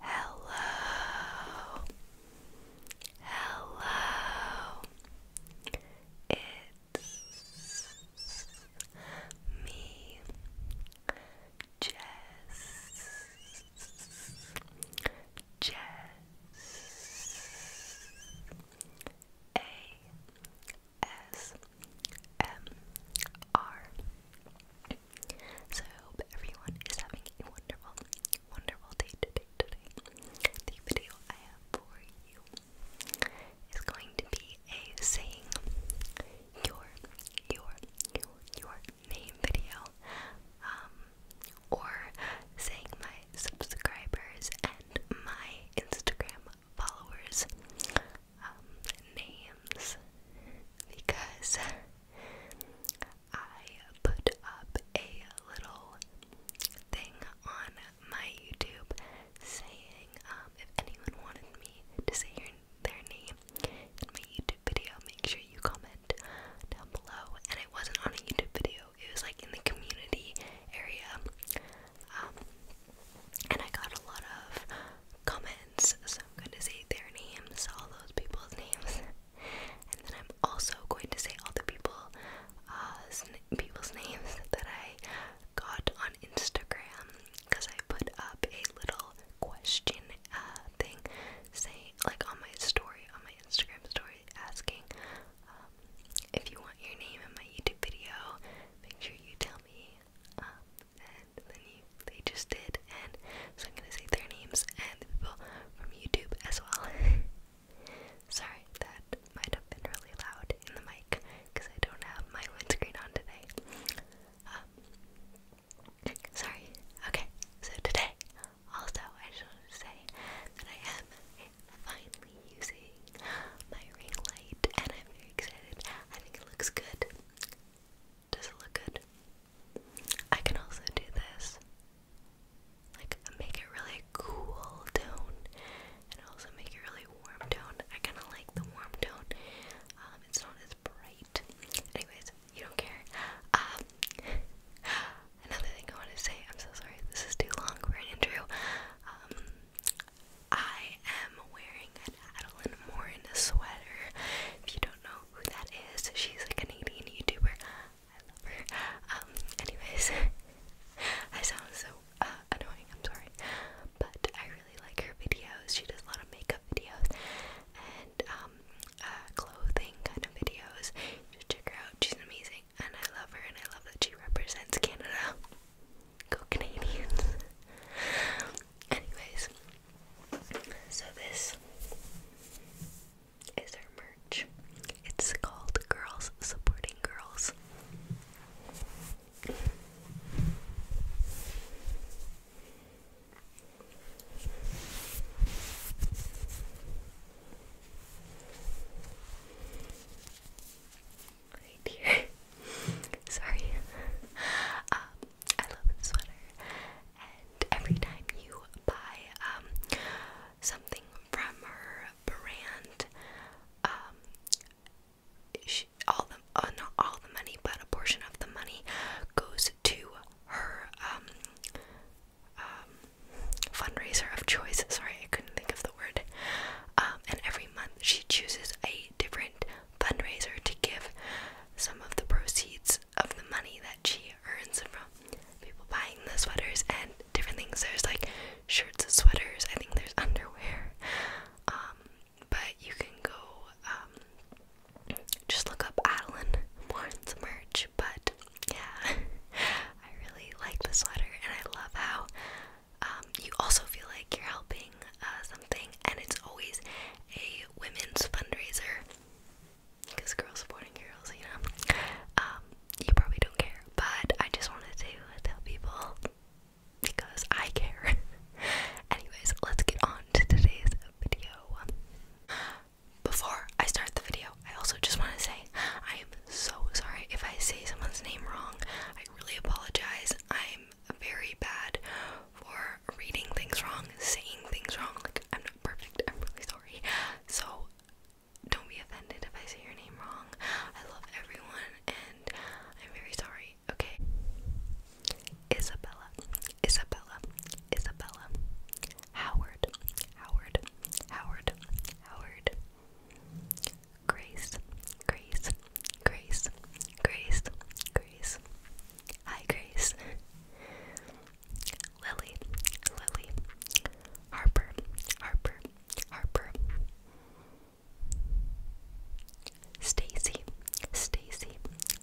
Hello, hello, it's me, Jess, Jess, A S M R so I hope everyone is having a wonderful, wonderful day today. Today, the video I have for you is going to be a saying your your your name video, um, or saying my subscribers and my Instagram followers. Um, names because I put up a little thing on my YouTube saying um, if anyone wanted me to say their name in my YouTube video, make sure you comment down below. And it wasn't on a YouTube video, it was like in the community area. Um, and I got a lot of comments, so I'm going to say their names, all those people's names and then I'm also going to say all the people, uh, people's names that I got on Instagram because I put up a little question uh, thing, saying like on my story, on my Instagram story, asking um, if you want your name in my YouTube video, make sure you tell me, um, and then you they just did, and so I'm gonna say their names and the people from YouTube as well. Sorry, that might have been really loud in the mic because I don't have my windscreen on today. Um, sorry. Okay, so today, also, I just want to say that I am finally using my ring light and I'm very excited. I think it looks good. Does it look good? I can also do this. Like, make it really cool tone and also make it really warm tone. I kind of like the warm tone. Um, it's not as bright. Anyways, you don't care. Um, another thing I want to say, I'm so sorry, this is too long for an intro. Um, I am wearing an Adeline Morin sweater. If you don't know who that is. She's a Canadian YouTuber. I love her. Um, anyways, I sound so uh, annoying, I'm sorry. But I really like her videos. She does a lot of makeup videos and um, uh, clothing kind of videos. You should check her out. She's amazing and I love her and I love that she represents Canada. Go Canadians. Anyways, so this is her merch. It's called Girls Supporting Girls. Right here. Sorry. Um, I love the sweater. And every time you buy um, something from her brand, um, all the uh, not all the money, but a portion of the money goes to her um, fundraiser of choice. Sorry, I couldn't think of the word. and every month she chooses a different fundraiser to give some of the proceeds out of the money that she earns from people buying the sweaters and different things. There's like shirts, sweaters, I think there's underwear. Um, but you can go um, just look up Adeline Warren's merch. But yeah, I really like the sweater and I love how um, you also feel like you're helping uh, something, and it's always a women's fundraiser because girls supporting girls, you know. Um, you probably don't care, but I just wanted to tell people because I care. Anyways, let's get on to today's video. Before I start the video, I also just want to say I am so sorry if I say someone's name wrong. I really apologize. I'm very bad for reading things wrong, saying things wrong, look, I'm not perfect. I'm really sorry. So don't be offended if I say your name wrong. I love everyone and I'm very sorry. Okay. Isabella. Isabella. Isabella. Howard. Howard. Howard. Howard. Grace. Grace. Grace. Grace. Grace. Hi Grace. Lily, Lily, Harper, Harper, Harper, Stacy, Stacy,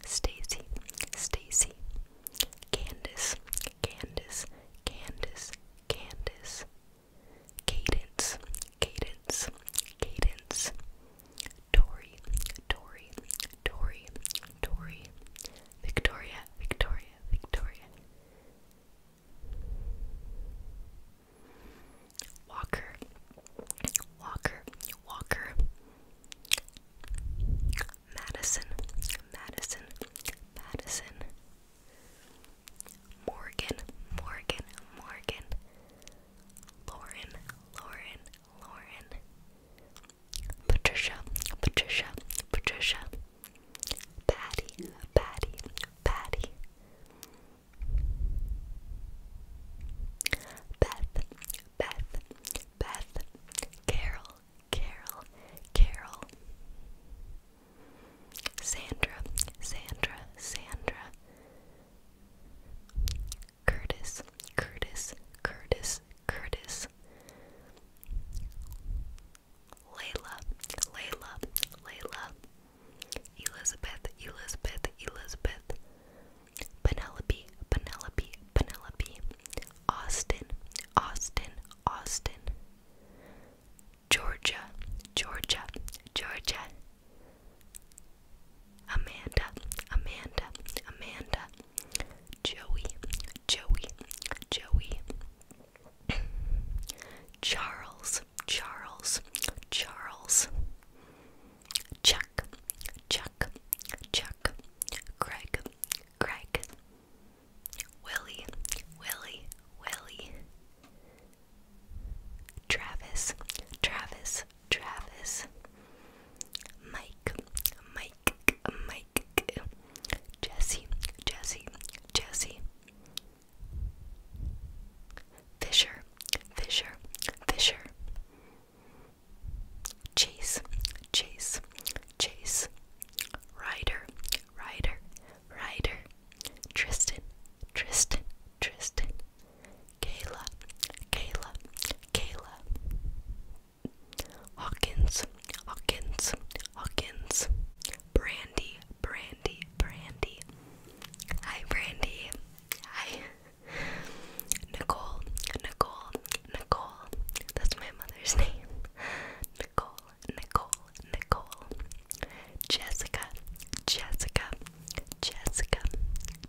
Stacy, Stacy, Candace, Candace, Candace, Candace, Cadence, Cadence, Cadence, Dory, Dory, Dory, Dory, Victoria, Victoria, Victoria. Walker, Walker, Walker. Madison, Madison, Madison. Morgan, Morgan, Morgan. Lauren, Lauren, Lauren. Patricia, Patricia, Patricia, Patty, Patty, Patty, Beth, Beth, Beth, Carol, Carol, Carol, Sandra, Sandra, Sandra, Curtis, Curtis, Curtis, Curtis. Layla, Layla, Layla, Elizabeth, Elizabeth, Elizabeth, Penelope, Penelope, Penelope, Austin, Austin, Austin, Georgia, Georgia, Georgia, Amanda, Amanda, Amanda, Joey, Joey, Joey, Charles, Charles, Charles, Chuck, Chuck, Chuck, Craig, Craig. Willie, Willie, Willie, Travis, Travis, Travis, Mike, Mike, Mike, Jesse, Jesse, Jesse. Fisher, Fisher, Fisher. Chase, Chase, Chase. Ryder, Ryder, Ryder. Tristan, Tristan, Tristan. Kayla, Kayla, Kayla. Hawkins, Hawkins, Hawkins, Brandy, Brandy, Brandy. Hi, Brandy. Hi, Nicole, Nicole, Nicole. That's my mother's name. Nicole, Nicole, Nicole. Jessica, Jessica, Jessica,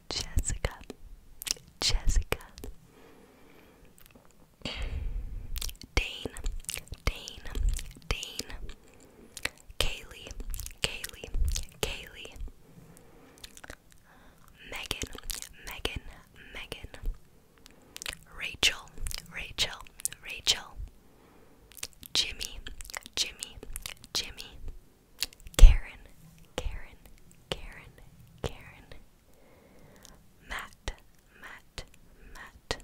Jessica, Jessica. Dane, Dane, Dane, Kaylee, Kaylee, Kaylee, Megan, Megan, Megan, Rachel, Rachel, Rachel, Jimmy, Jimmy, Jimmy, Karen, Karen, Karen, Karen, Matt, Matt, Matt.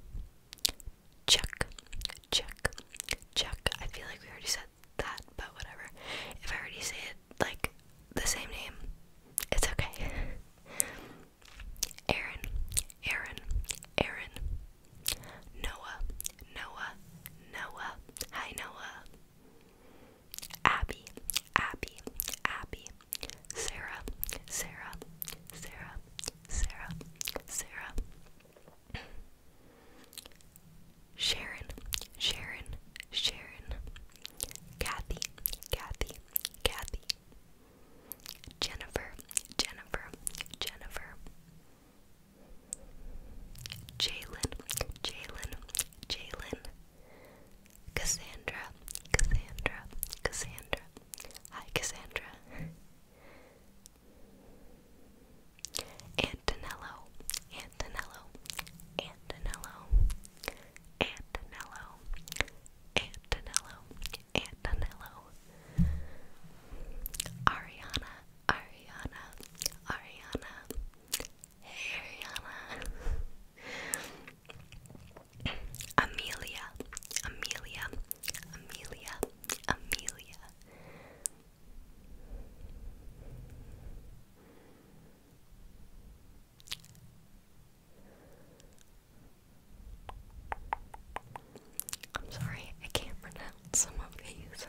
Chuck, Chuck, Chuck. I feel like we already said that, but whatever. If I already say it like the same name, it's okay. Aaron, Aaron, Aaron. Noah, Noah, Noah. Hi, Noah. Abby, Abby, Abby. Sarah, Sarah, Sarah, Sarah, Sarah. Sharon, Sharon, Sharon. Kathy, Kathy, Kathy. Jennifer, Jennifer, Jennifer. Jalen, Jalen, Jalen. Cassandra, Cassandra, Cassandra. Hi, Cassandra. Antonello, Antonello, Antonello, Antonello, Antonello, Antonello. Ariana, Ariana, Ariana. Hey Ariana. Amelia, Amelia, Amelia, Amelia. I'm sorry, I can't pronounce some of these.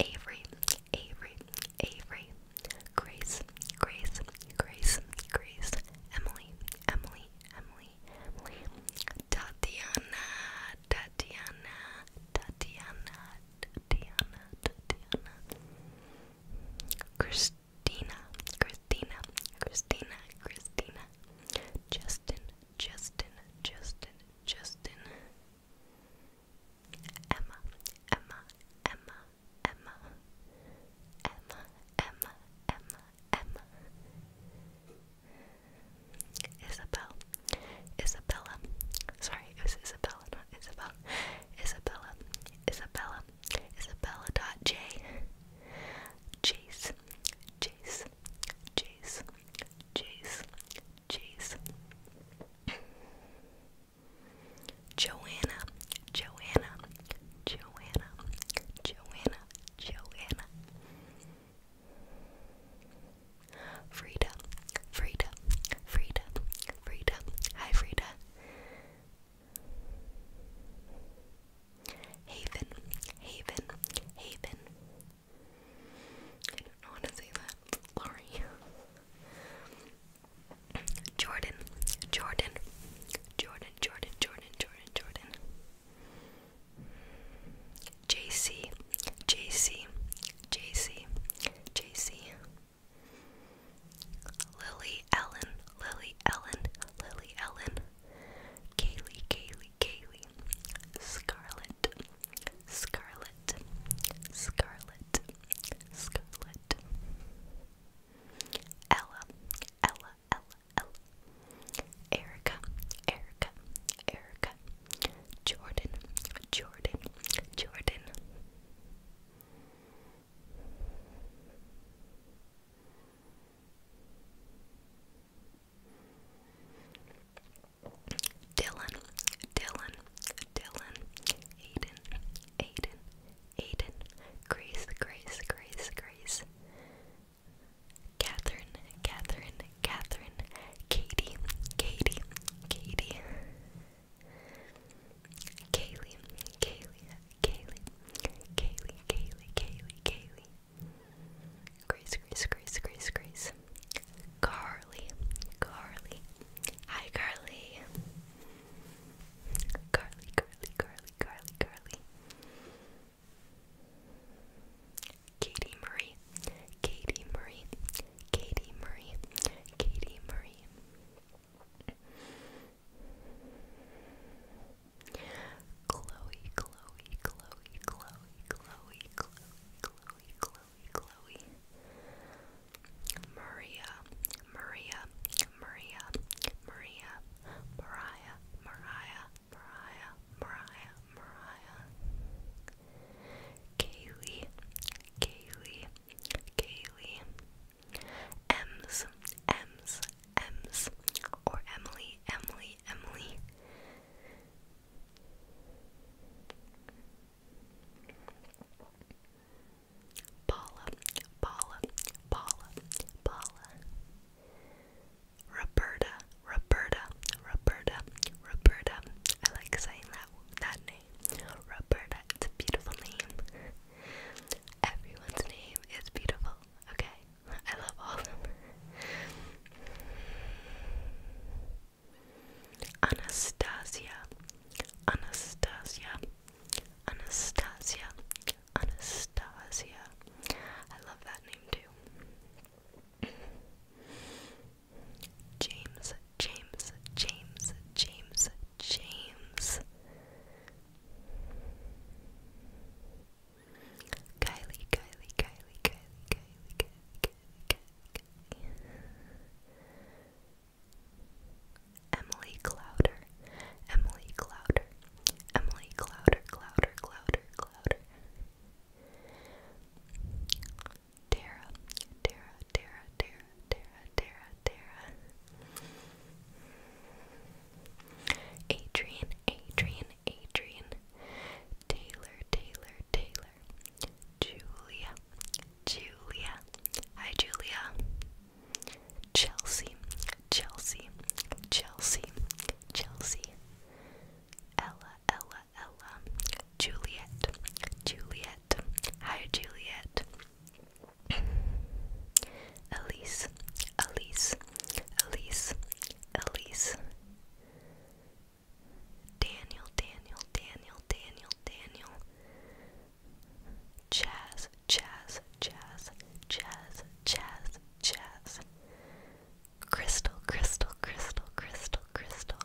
Avery, Avery, Avery, Grace, Grace, Grace, Grace, Emily, Emily, Emily, Emily, Tatiana, Tatiana, Tatiana, Tatiana, Tatiana, Christina, Christina, Christina, Christina, Justin, Justin, Justin, Justin, Emma, Emma, Emma, Emma, Emma, Emma, Emma, Emma. Isabel, Isabella. Sorry, it was Isabella, not Isabel. Isabella, Isabella, Isabella. Dot J. Jace, Jace, Jace, Jace, Jace. Joanna, Joanna, Joanna, Joanna, Joanna. Frida, Frida, Frida, Frida. Hi, Frida. Haven, Haven, Haven. I don't know how to say that. Sorry. Jordan, Jordan, Jordan, Jordan, Jordan, Jordan, Jordan. JC, JC, JC, JC. Lily Ellen, Lily Ellen, Lily Ellen. Kaylee, Kaylee, Kaylee. Scarlet, Scarlet, Scarlet, Scarlet. Ella, Ella, L, Erica, Erica, Erica. Jordan, Jordan, Jordan. Dylan, Dylan, Dylan, Aiden, Aiden, Aiden, Grace, Grace, Grace, Grace, Catherine, Catherine, Catherine, Katie, Katie, Katie, Kaylee, Kaylee, Kaylee, Kaylee, Kaylee, Kaylee, Kaylee, Grace, Grace, Grace, Grace, Grace, Carly, Carly, hi Carly. Carly, Carly, Carly, Carly, Carly. Katie Marie, Katie Marie, Katie Marie, Katie Marie. Chloe, Chloe, Chloe, Chloe, Chloe, Chloe, Chloe, Chloe, Chloe. Maria, Maria, Maria, Maria, Mariah, Mariah, Mariah, Mariah, Mariah. Kaylee, Kaylee, Kaylee. Ems, Ems, Ems, or Emily, Emily, Emily. Paula, Paula, Paula, Paula, Roberta, Roberta, Roberta, Roberta. I like saying that that name. Roberta, it's a beautiful name. Everyone's name is beautiful. Okay, I love all of them. Anastasia, Anastasia, Anastasia. Anastasia. I love that name too. James, James, James, James, James. Kylie, Kylie, Kylie, Kylie, Kylie, Kylie, Kylie, Kylie, Kylie. Emily Clouder, Clouder, Emily Clouder, Emily Clouder, Clouder, Clouder, Clouder. Tara, Tara, Tara, Tara, Tara, Tara, Tara. Adrian, Adrian, Adrian. Taylor, Taylor, Taylor. Julia, Julia. Hi, Julia. Chelsea, Chelsea, Chelsea, Chelsea, Ella, Ella, Ella, Juliet, Juliet, hi Juliet, Elise, Elise, Elise, Elise, Daniel, Daniel, Daniel, Daniel, Daniel. Jazz, jazz, jazz, jazz, jazz, jazz. Crystal, crystal, crystal, crystal, crystal.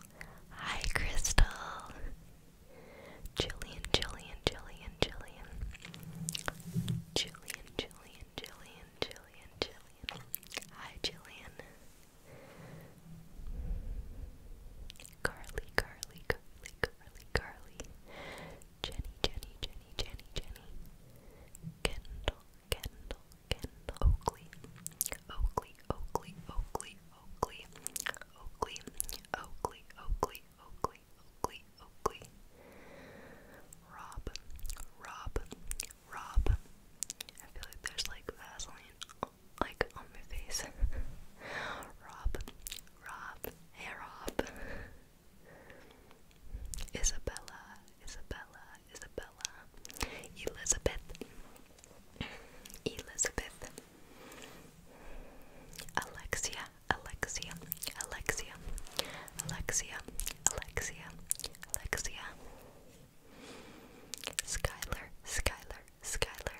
Hi, Crystal. Jillian, Jillian, Jillian, Jillian. Jillian, Jillian, Jillian, Jillian, Jillian. Hi, Jillian. Carly, Carly, Carly, Carly, Carly. Jenny, Jenny, Jenny, Jenny, Jenny, Kendall, Kendall, Kendall, Oakley, Oakley, Oakley, Oakley, Oakley, Oakley, Oakley, Oakley, Oakley, Oakley, Oakley, Rob, Rob, Rob. I feel like there's like Vaseline like on my face. Rob, Rob, hey Rob. Isabella, Isabella, Isabella, Elizabeth, Elizabeth, Alexia, Alexia, Alexia, Alexia, Alexia, Alexia, Skylar, Skylar, Skylar.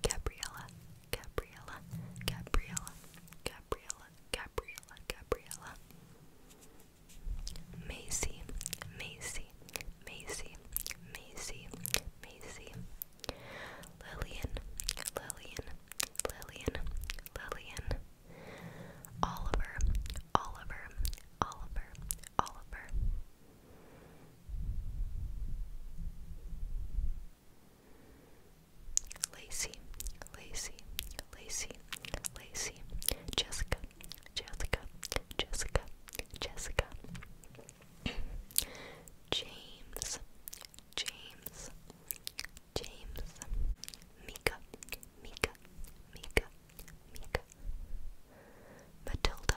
Gabriella, Gabriella, Gabriella, Gabriella, Gabriella, Gabriella. Macy, Macy, Macy, Macy, Macy. Lillian, Lillian, Lillian, Lillian. Oliver, Oliver, Oliver, Oliver. Lacey, Lacey, Lacey, Lacey, Jessica, Jessica, Jessica, Jessica, James, James, James, Mika, Mika, Mika, Mika. Matilda,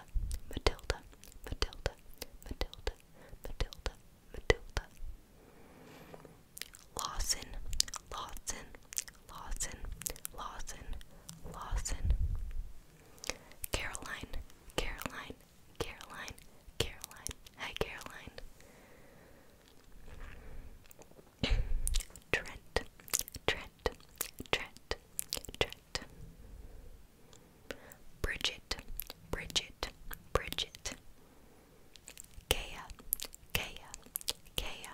Matilda, Matilda, Matilda, Matilda, Matilda. Lawson, Lawson, Lawson, Lawson, Lawson. Caroline, Caroline, Caroline, Caroline. Hi, Caroline. Trent, Trent, Trent, Trent, Bridget, Bridget, Bridget. Kea, Kea, Kea.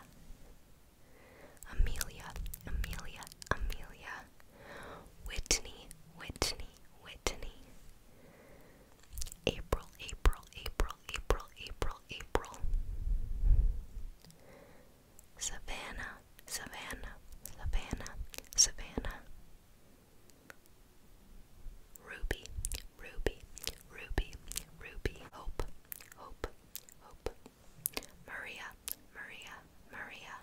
Amelia, Amelia, Amelia. Whitney, Whitney, Whitney. April, April, April, April, April, April. Savannah, Savannah, Savannah, Savannah. Ruby, Ruby, Ruby, Ruby. Hope, Hope, Hope. Maria, Maria, Maria.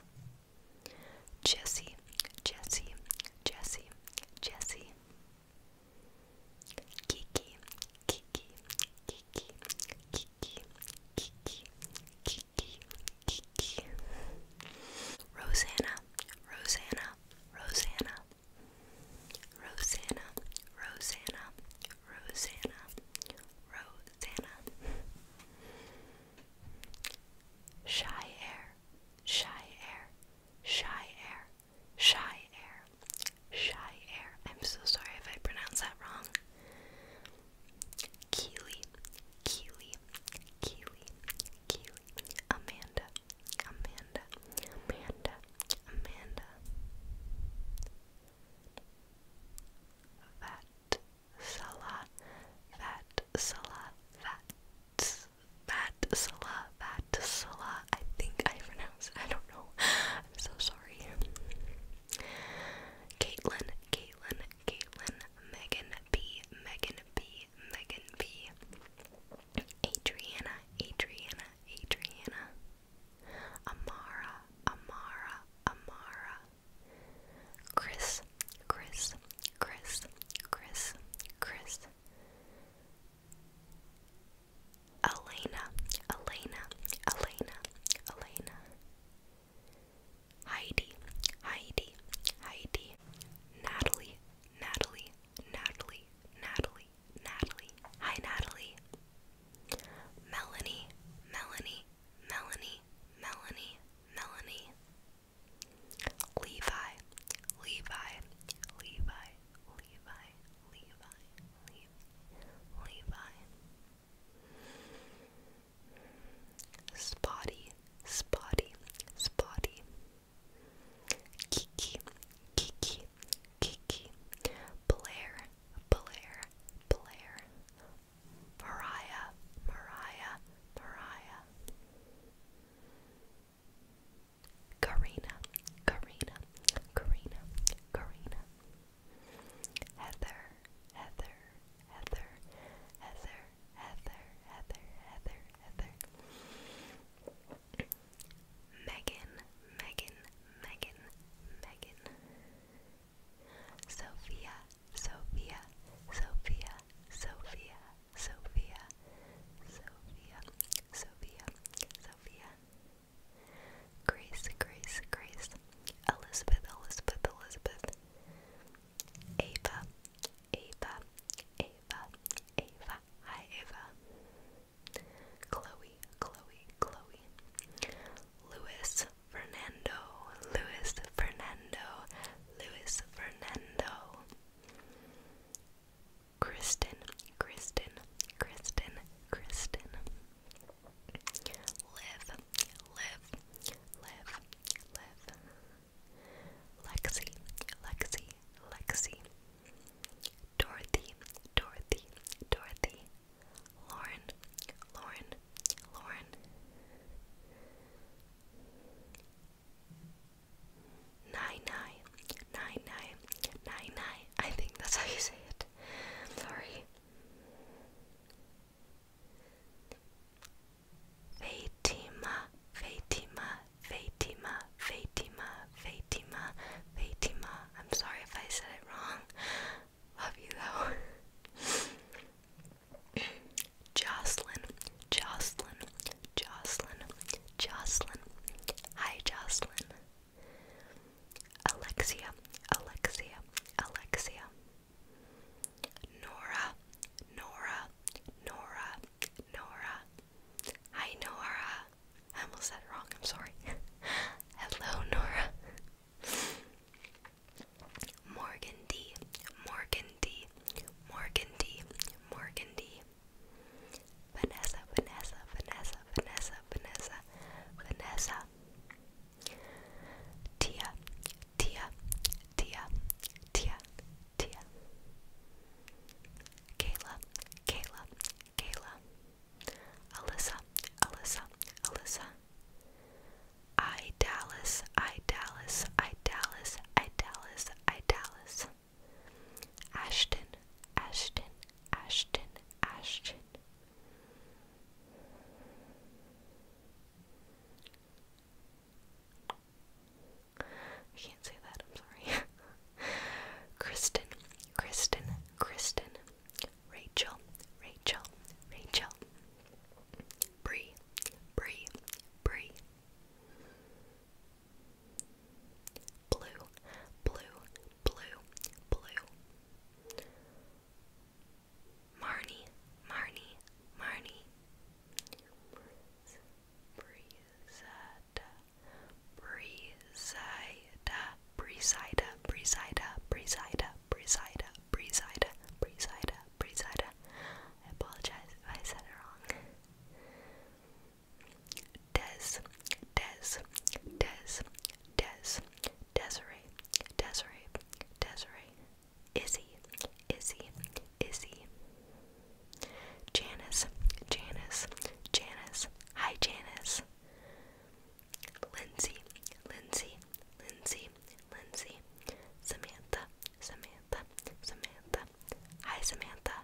Jesse, Jesse, Jesse, Jesse. Kiki, Kiki, Kiki, Kiki, Kiki, Kiki, Rosanna, Rosanna, Rosanna. Rosanna, Rosanna, Rosanna, Rosanna. Shy air, shy air, shy air, shy air, shy air. I'm so sorry if I pronounce that wrong. Keely, Keely, Keely, Keely, Amanda, Amanda, Amanda, Amanda. Fat, Salah, fat, Salah, fat, Vat Salah, Vat Salah. I think I pronounced. I don't know. I'm so sorry. Caitlin, Caitlin, Caitlin, Megan B, Megan B, Megan B, Adriana, Adriana, Adriana, Amara, Amara, Amara, Chris, Chris, Chris, Chris, Chris. Elena, Elena, Elena, Elena, Heidi, Heidi, Heidi, Natalie, Natalie, Natalie, Natalie, Natalie, hi Natalie, Melanie, Melanie, Melanie, Melanie, Melanie, Levi, Levi, Levi, Levi, Levi, Levi, Levi. Spotty, spotty, spotty. Kiki, Kiki, Kiki. Blair, Blair, Blair. Mariah, Mariah, Mariah. Karina, Karina, Karina, Karina. Heather, Heather, Heather, Heather, Heather, Heather, Heather, Heather. Megan, Megan, Megan, Megan. Sophia, Sophia, Sophia, Sophia, Sophia, Sophia, Sophia, Sophia. Grace, Grace, Grace. Elizabeth, Elizabeth, Elizabeth. Ava, Ava, Ava, Ava. Hi, Ava. Chloe, Chloe, Chloe. Luis Fernando, Luis Fernando, Luis Fernando. Kristen, Kristen, Kristen, Kristen. Live, live, Liv, Liv, Lexi, Lexi, Lexi, Dorothy, Dorothy, Dorothy, Lauren, Lauren, Lauren. Nine nine, nine nine, nine nine. I think that's how you say it. I'm sorry. Fatima, Fatima, Fatima, Fatima, Fatima, Fatima. I'm sorry if I said it wrong. Love you though. Jocelyn, Jocelyn, Jocelyn, Jocelyn. Hi, Jocelyn. Alexia, Alexia, Alexia, Nora, Nora, Nora, Nora. Hi, Nora. I said wrong, I'm sorry. Hello, Nora. Morgan D, Morgan D, Morgan D, Morgan D. Vanessa, Vanessa, Vanessa, Vanessa, Vanessa, Vanessa. Tia, Tia, Tia, Tia, Tia. Kayla, Kayla, Kayla. Alyssa, Alyssa, Alyssa. I Dallas, I Dallas, I Dallas, I Dallas, I Dallas. Ashton, Ashton, Ashton, Ashton. I can't say that, I'm sorry. Kristen, Kristen, Kristen, Rachel, Rachel, Rachel, Bree, Bree, Bree, Blue, Blue, Blue, Blue, Marnie, Marnie, Marnie. Breezada, Breezada, Breezada, Breezada, Breezada, Breezada, Breezada, Breezada, Breezada. I apologize if I said it wrong. Des, Des, Des, Des, Desiree, Desiree, Desiree, Izzy, Izzy, Izzy. Janice, Janice, Janice. Hi, Janice. Lindsay, Lindsay, Lindsay, Lindsay. Samantha, Samantha, Samantha. Hi, Samantha.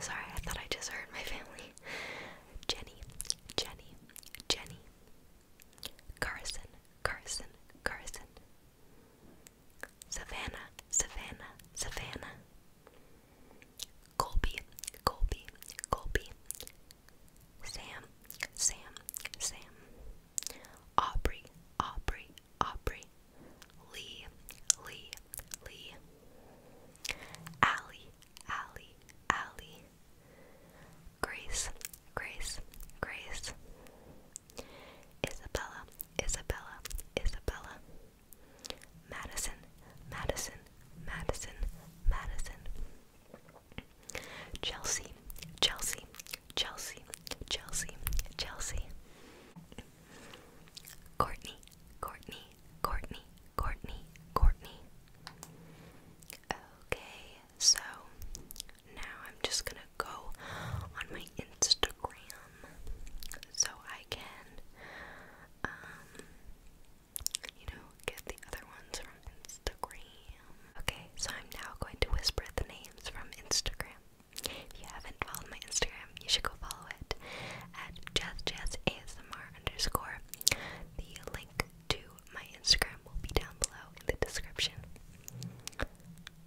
Sorry, I thought I just heard my family. Jenny, Jenny, Jenny, Carson, Carson, Carson. Savannah, Savannah, Savannah. Colby, Colby, Colby. Sam, Sam, Sam. Aubrey, Aubrey, Aubrey. Lee, Lee, Lee. Allie, Allie, Allie. Grace, Grace, Grace. Isabella, Isabella, Isabella. Madison, Madison, Madison, Madison. Chelsea, Chelsea, Chelsea, Chelsea, Chelsea. Courtney, Courtney, Courtney, Courtney, Courtney. Okay, so now I'm just gonna go on my Instagram so I can, um, you know, get the other ones from Instagram. Okay, so I'm now going to whisper the names from Instagram. If you haven't followed my Instagram, you should go follow it at jazzjazzasmr underscore. The link to my Instagram will be down below in the description.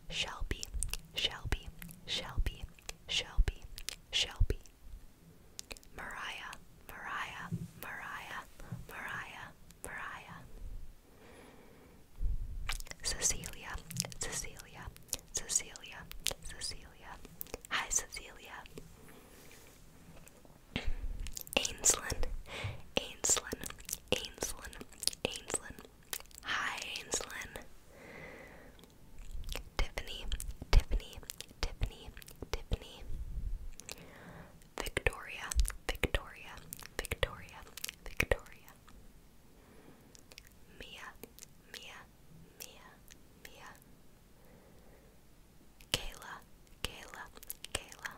Shelby, Shelby, Shelby, Shelby, Shelby. Mariah, Mariah, Mariah, Mariah, Mariah. Cecilia, Cecilia, Cecilia, Cecilia. Hi, Cecilia. Ainslin, Ainslin, Ainslin, Ainslin. Hi, Ainslin. Tiffany, Tiffany, Tiffany, Tiffany. Victoria, Victoria, Victoria, Victoria. Mia, Mia, Mia, Mia. Kayla, Kayla, Kayla.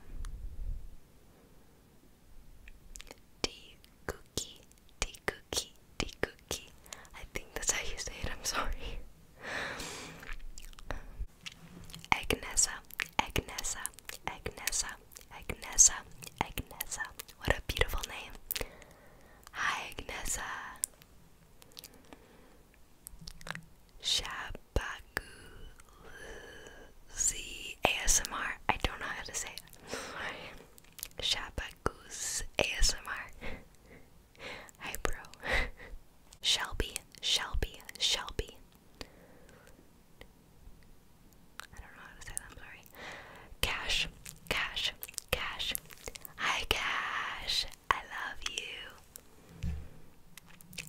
Tea cookie, tea cookie, tea cookie. I think that's how you say it, I'm sorry. Agnesa, Agnesa, Agnesa, Agnesa, Agnesa. What a beautiful name. Hi, Agnesa. Shabaguzi ASMR. I don't know how to say it. Shabaguz ASMR. Hi, bro. Shelby, Shelby, Shelby. I don't know how to say that, sorry. Cash, Cash, Cash. Hi, Cash. I love you.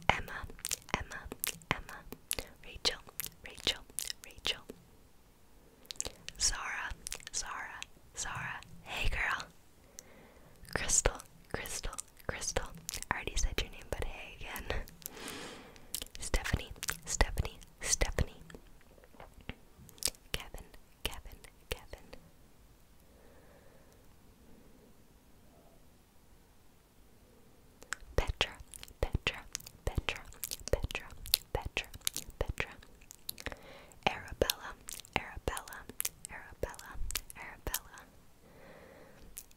Emma, Emma, Emma. Rachel, Rachel, Rachel. Zara, Zara, Zara. Hey girl. Crystal, Crystal, Crystal. I already said your name, but hey again. Stephanie, Stephanie, Stephanie. Kevin, Kevin, Kevin. Petra, Petra, Petra, Petra, Petra, Petra. Arabella, Arabella, Arabella, Arabella.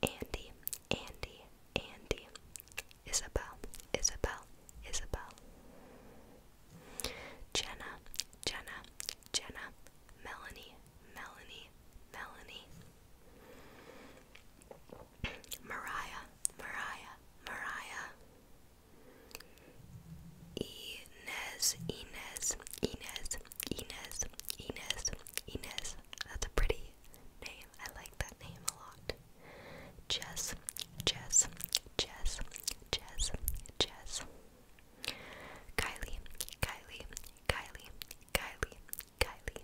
Andy, Andy, Andy. Isabel, Isabel, Isabel. Jenna, Jenna, Jenna. Melanie, Melanie, Melanie. Mariah, Mariah, Mariah. Inez, Inez, Inez, Inez, Inez, Inez. That's a pretty name. I like that name a lot. Jess, Jess, Jess, Jess, Jess. Kylie, Kylie, Kylie, Kylie, Kylie,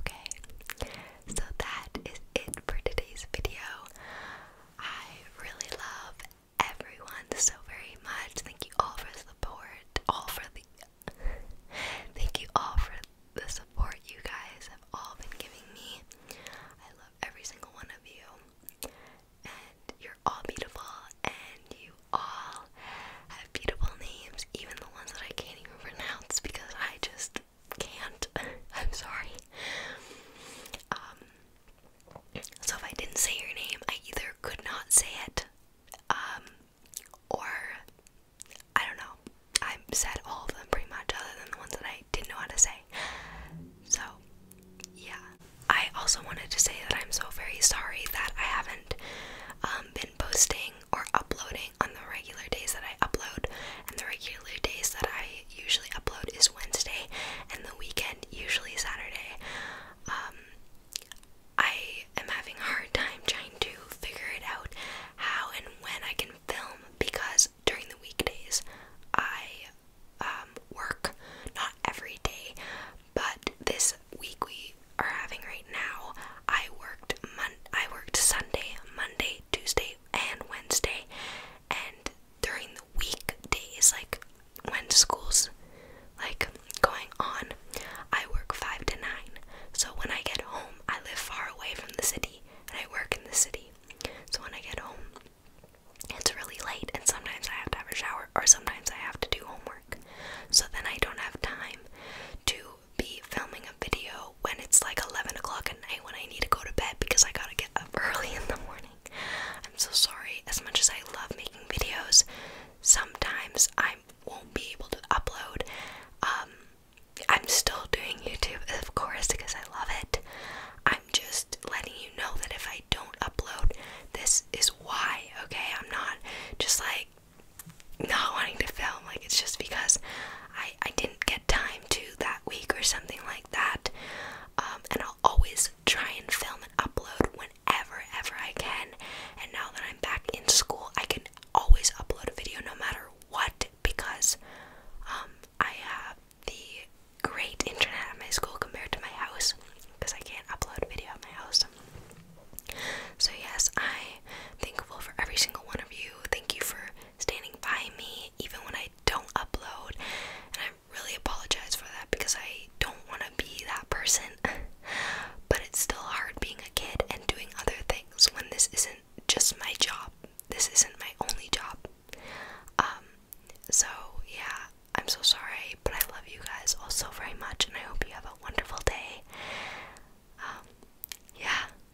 Okay, so that is it for today's video. I really love everyone so very much. Thank you all for the support. All for the thank you all for the support you guys have all been giving me. I love every single one of you. And you're all beautiful and you all have beautiful names, even the ones that I can't even pronounce because I just just can't. I'm sorry. Um, so if I didn't say your name, I either could not say it, um, or I don't know. I said all of them pretty much, other than the ones that I didn't know how to say. So, yeah. I also wanted to say that I'm so very sorry that I haven't um, been posting or uploading on the regular days that I upload, and the regular days that I usually upload is Wednesday, and the weekend usually Saturday. Um, I am having a hard time trying to figure it out how and when I can film because during the weekdays I um, work, not every day, but this week we are having right now. I worked Mon I worked Sunday, Monday, Tuesday, and Wednesday, and during the week, weekdays, like when school's like going on, I work five to nine. So when I get home, I live far away from the city, and I work in the city. So when I get home, it's really late, and sometimes I have to have a shower, or sometimes I have to do homework. So then I don't have time to be filming a video when it's like 11 o'clock at night when I need to go to bed because I gotta get up early in the morning. I'm so sorry. As much as I love making videos, sometimes I won't be able to upload. Um, I'm still doing YouTube, of course, because I love it. I'm just letting you know that if I don't upload, this is why, okay? I'm not just like not wanting to film like it's just because I I didn't get time to that week or something like that um, and I'll always try and film and upload whenever ever I can and now that I'm back in school I can always upload a video no matter what because um, I have the great internet at my school compared to my house because I can't upload a video at my house. So, yes, I thankful for every single one of you. Thank you for standing by me even when I don't upload. And I really apologize for that because I don't want to be that person. but it's still hard being a kid and doing other things when this isn't just my job. This isn't my only job. Um, so yeah, I'm so sorry, but I love you guys also very much and I hope you have a wonderful day. Um, yeah.